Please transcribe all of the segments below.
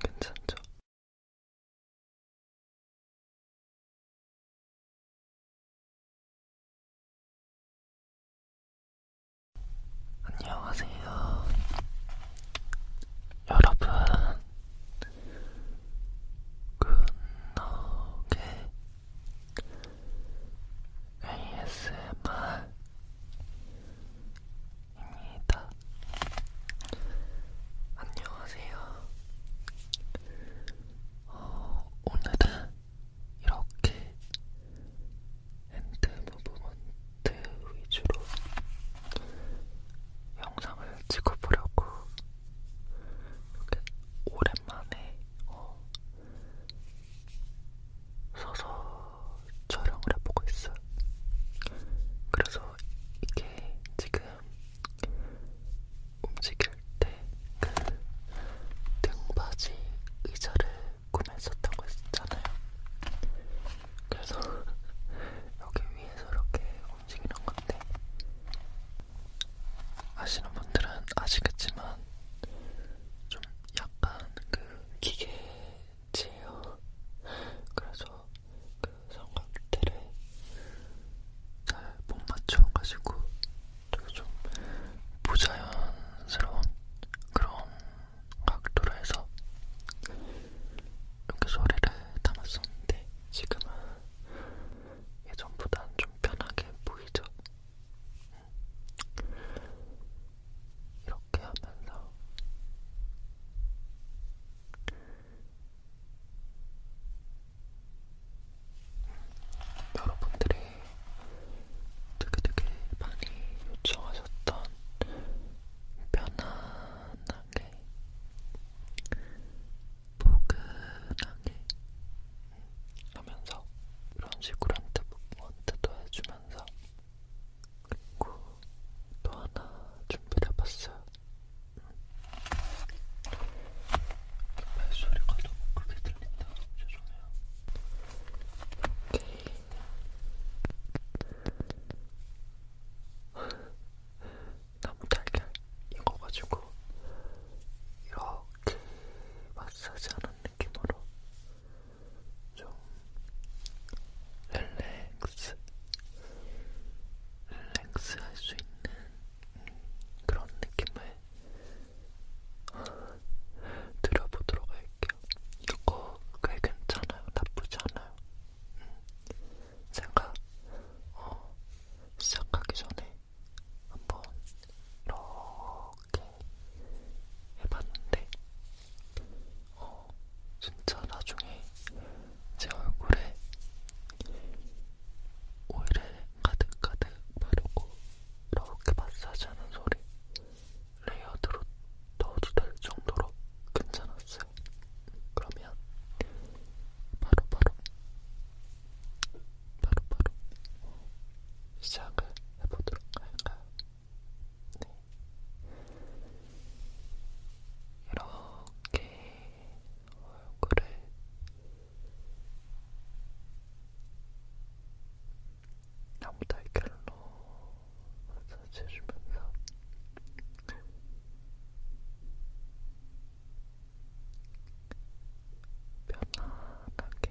괜찮죠? 안녕하세요. 여러분, 굿노게 ASMR입니다. 안녕하세요. 어, 오늘은 이렇게 핸드 무브먼트 위주로 영상을 찍어보려고 이렇게 오랜만에 어, 서서 촬영을 해보고 있어요. 그래서 이게 지금 움직일 때 그 등받이 의자를 구매해서 타고 있었잖아요. 그래서 여기 위에서 이렇게 움직이는 건데 아시는 분들은 아시겠지만 좀 약간 그 기계 있지요. 그래서 그 삼각대를 잘못 맞춰가지고 되게 좀 부자연스러운 그런 각도로 해서 이렇게 소리를 담았었는데 지금은 예전보단 좀 편하게 보이죠? 음, 이렇게 하면서 여러분들이 되게 되게 많이 요청하셨던 편안하게 포근하게 하면서 이런 식으로 한테 한테도 해주면서 그리고 또 하나 준비를 해봤어요. 발소리가 너무 크게 들린다. 죄송해요. 너무 달걀 익어가지고 이렇게 마사지하는 느낌으로 좀 릴렉스, 릴렉스 할 수 있는 그런 느낌을 들어보도록 할게요. 이거 꽤 괜찮아요. 나쁘지 않아요. 음, 제가 어, 시작하기 전에 한번 이렇게 해봤는데 어, 진짜 나중에 제 얼굴에 오일을 가득가득 바르고 이렇게 마사지하는 소리 레이어드로 넣어도 될 정도로 괜찮았어요. 그러면 바로바로 바로바로 바로 시작을 해보도록 할까요? 네. 이렇게 얼굴을 나무달걀로 마사지해주면서 편안하게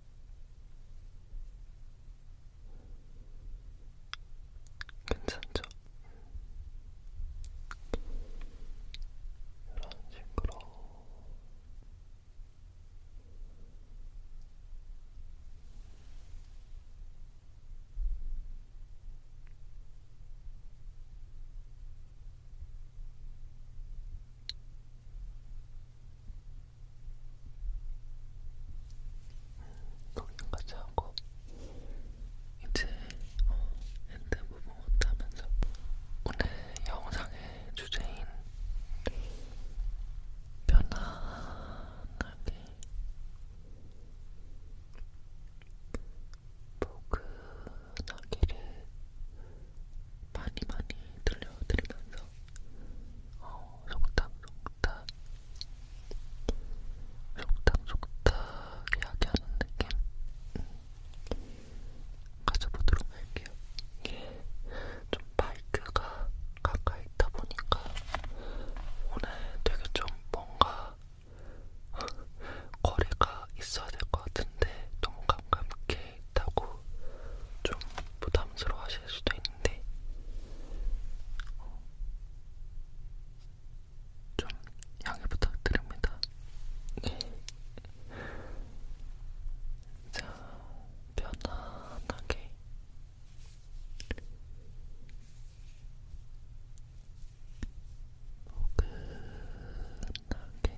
괜찮죠? 이런 식으로 걱정까지 하고 이제 어, 핸드무브 못하면서 오늘 영상의 주제인 편안하게 포근하기를 많이 많이 들려드리면서 어, 속닥 속닥 속닥 속닥 이야기하는 느낌 음. 가져보도록 할게요. 이게 좀 마이크가 가까이 있다 보니까 오늘 되게 좀 뭔가 거리가 있어야 될 것 같은데 너무 가깝게 있다고 좀 부담스러워 하실 수도 있는데, 어, 좀 양해 부탁드립니다. 네. 자, 편안하게. 포근하게 어,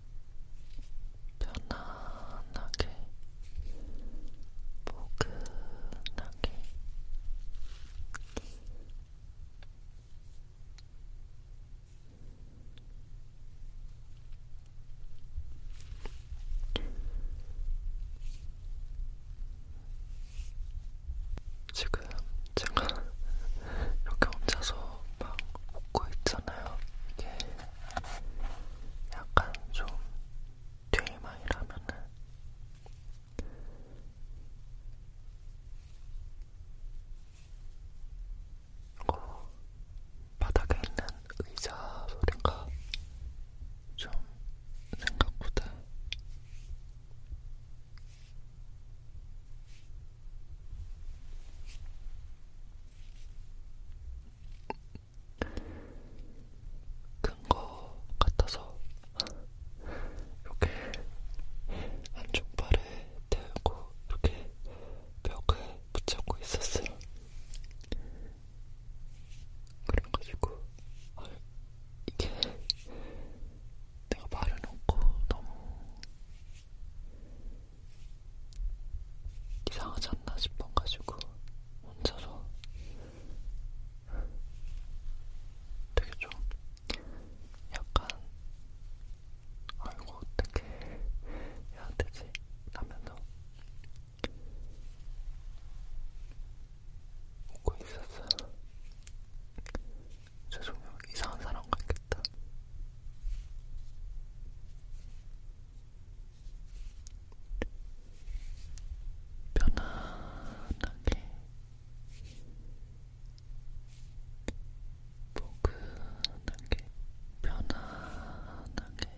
편안하게, 포근하게 지금 제가 이렇게 혼자서 막 묶고 있잖아요. 이게 약간 좀 TMI라면은 이거 어, 바닥에 있는 의자 소리가 좀 생각보다 큰거 같아서 이렇게 안쪽 발에 대고 이렇게 벽에 붙잡고 있었어요. 그래가지고 아, 이게 내가 말을 놓고 너무 이상하지 않나 싶어가지고 혼자서 되게 좀 약간 아이고 어떻게 해야 되지? 하면서 웃고 있었어요. 죄송해요. 이상한 사람 같겠다. 편안하게 포근하게 편안하게 포근하게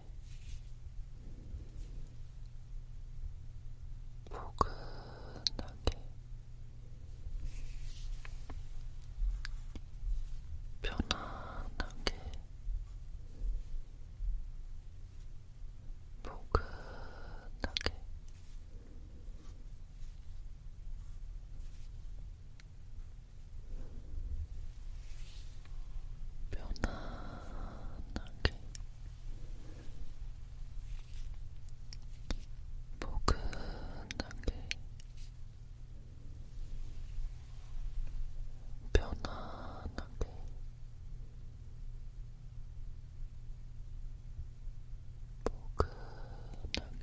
편안하게 포근하게 편안하게 포근하게 편안하게 포근하게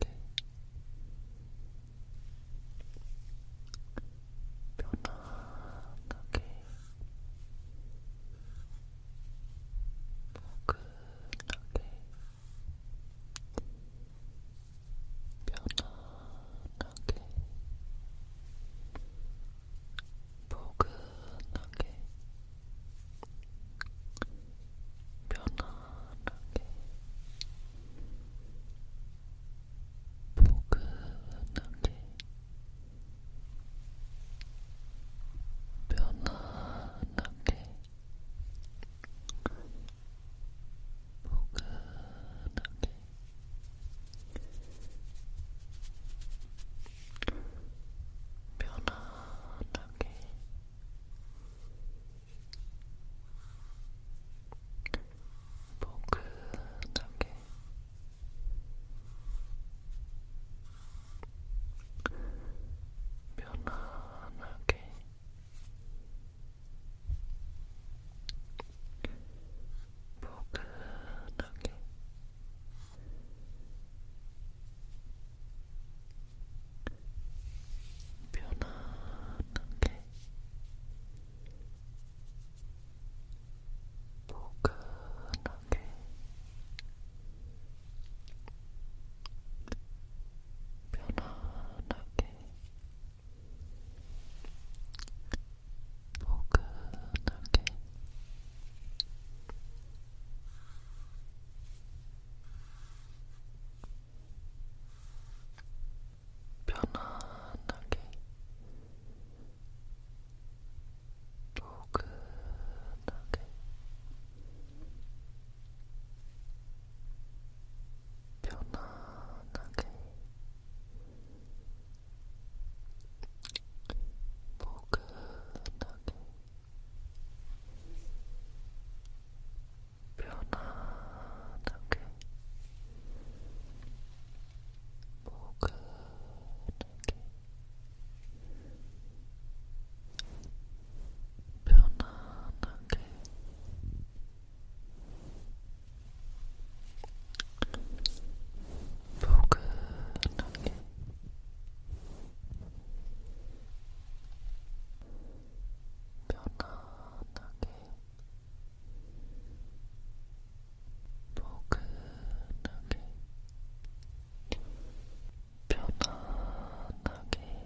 편안하게 포근하게 편안하게, 포근하게, 편안하게, 포근하게, 편안하게. 포근하게 편안하게 포근하게 편안하게 포근하게 편안하게 포근하게 편안하게 포근하게 편안하게 포근하게 편안하게 포근하게 편안하게 포근하게 편안하게 포근하게 편안하게 포근하게 편안하게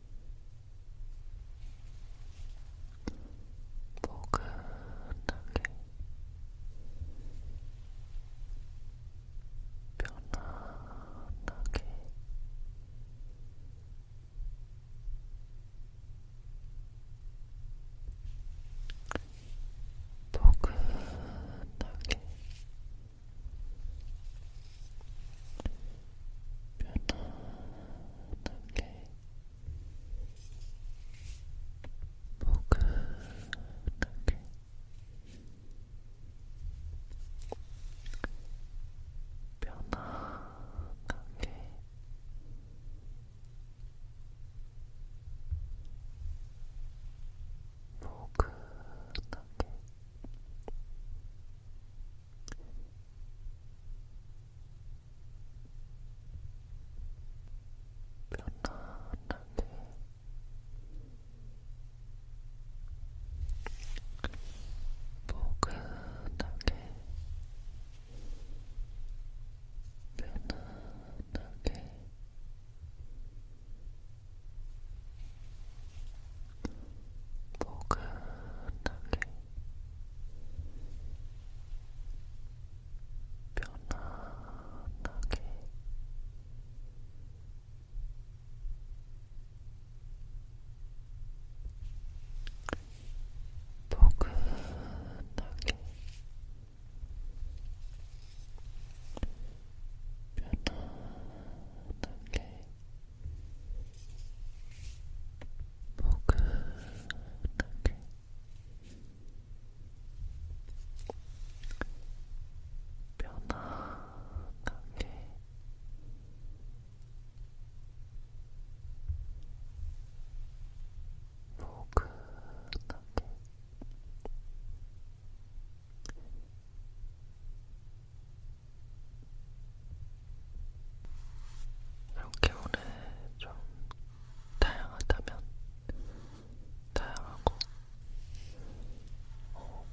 포근하게 편안하게 포근하게 편안하게 포근하게 편안하게 포근하게 편안하게 포근하게 편안하게 포근하게 편안하게 포근하게 편안하게 포근하게 편안하게 포근하게 이렇게 오늘 좀 다양하다면 다양하고 어,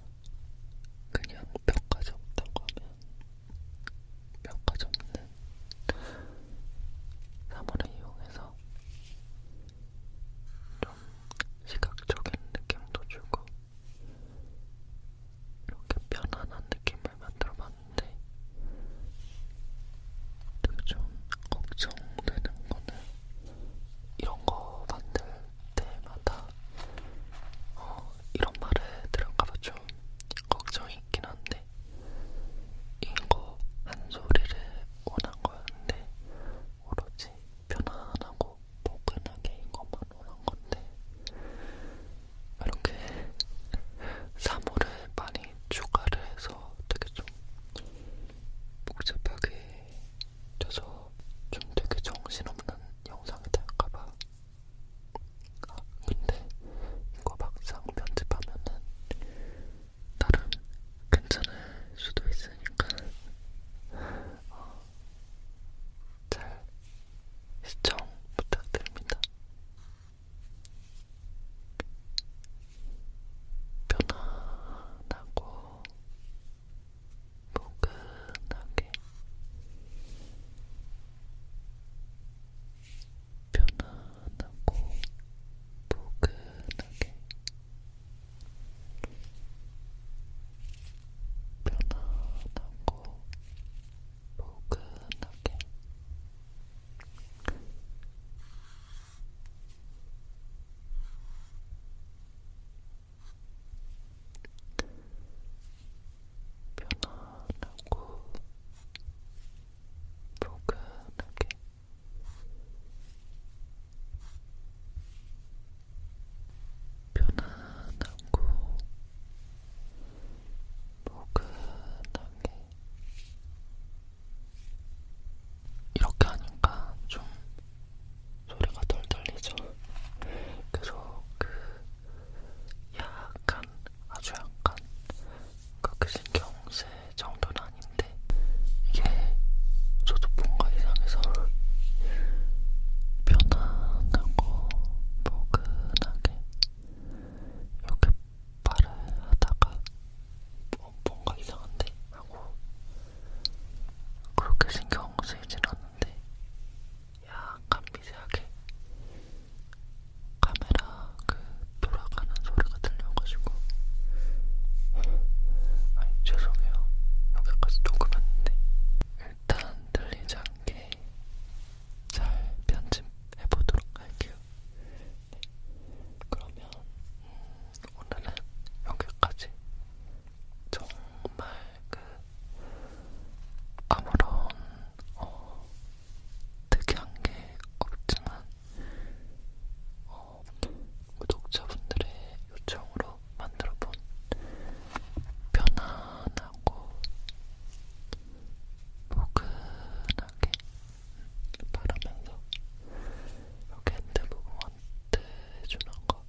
그냥 몇 가지 없다고 하면 몇 가지 없는 사물을 이용해서 좀 시각적인 느낌도 주고 이렇게 편안한 느낌을 만들어봤는데 되게 좀 걱정되는 거는 이런 거 만들 때마다 어, 이런 말에 들을까봐 좀 걱정이 있긴 한데 이거 한 소리를 원한 거였는데 오로지 편안하고 포근하게 이것만 원한 건데 이렇게 사물을 많이 추가를 해서 되게 좀 복잡하게 돼서 좀 되게 정신없는 영상이 될까봐 아, 근데 이거 막상 편집하면은 나름 괜찮을 수도 있으니까 어, 잘 시청 부탁드립니다. 편안하고 포근하게 편안하고 포근하게 편안하고 포근하게 편안하고 포근하게 편안하고 포근하게 이렇게 하니까 좀 소리가 덜 들리죠. 계속 그 약간 아주 약간 그 신경세 정도는 아닌데 이게 저도 뭔가 이상해서 편안하고 포근하게 이렇게 발을 하다가 어, 뭔가 이상한데? 하고 그렇게 신경 쓰이진 않는데 약간 미세하게 카메라 그 돌아가는 소리가 들려가지고 아니 죄송해요 여기까지 녹음했는데 일단 들리지 않게 잘 편집해 보도록 할게요. 네. 그러면 음, 오늘은 여기까지. 정말 그 아무런 어, 특이한 게 없지만 어, 구독자분들의 요청으로 만들어본 편안하고 포근하게 바르면서 이렇게 핸드무브먼트 해주는 거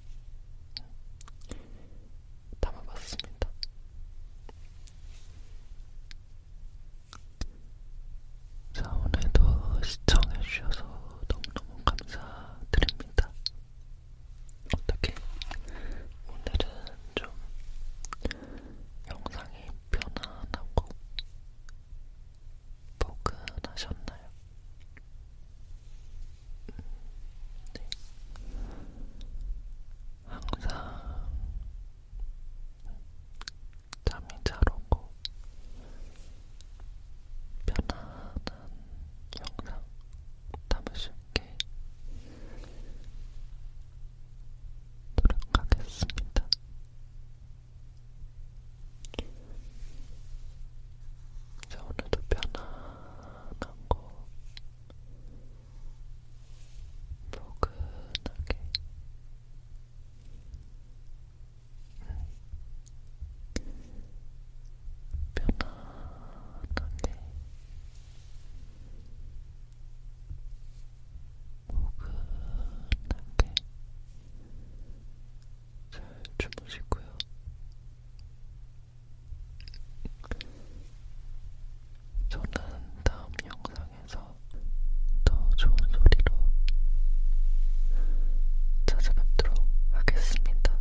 담아봤습니다. 자, 오늘도 시청해주셔서 너무너무 감사드립니다. 어떻게 오늘은 좀 영상이 편안하고 포근하셨나요? 음, 네. 항상 잠이 잘 오고 편안한 영상 담으실 가볍게 노력하겠습니다. 자, 오늘도 편안하고 포근하게 음. 편안하게 포근하게 잘 주무시고요. 저는 다음 영상에서 더 좋은 소리로 찾아뵙도록 하겠습니다.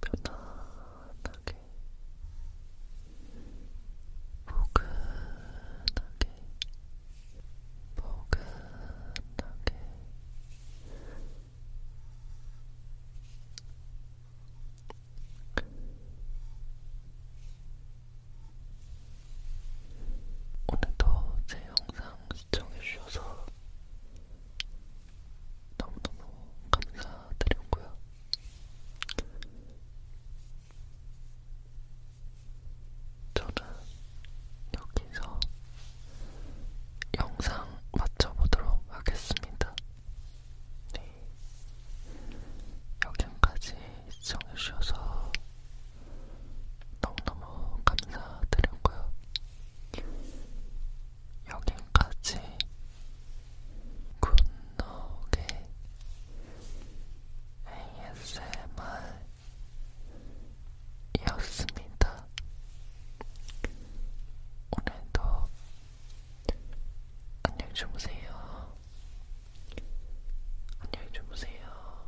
편안하게, 포근하게, 포근하게 오늘도 제 영상 시청해주셔서 너무너무 감사드리고요. 저는 여기서 영상 마쳐보도록 하겠습니다. 네. 여기까지 시청해주셔서 너무너무 감사드렸고요. 여기까지 굿노게 ASMR이었습니다. 오늘도 안녕히 주무세요. 안녕히 주무세요.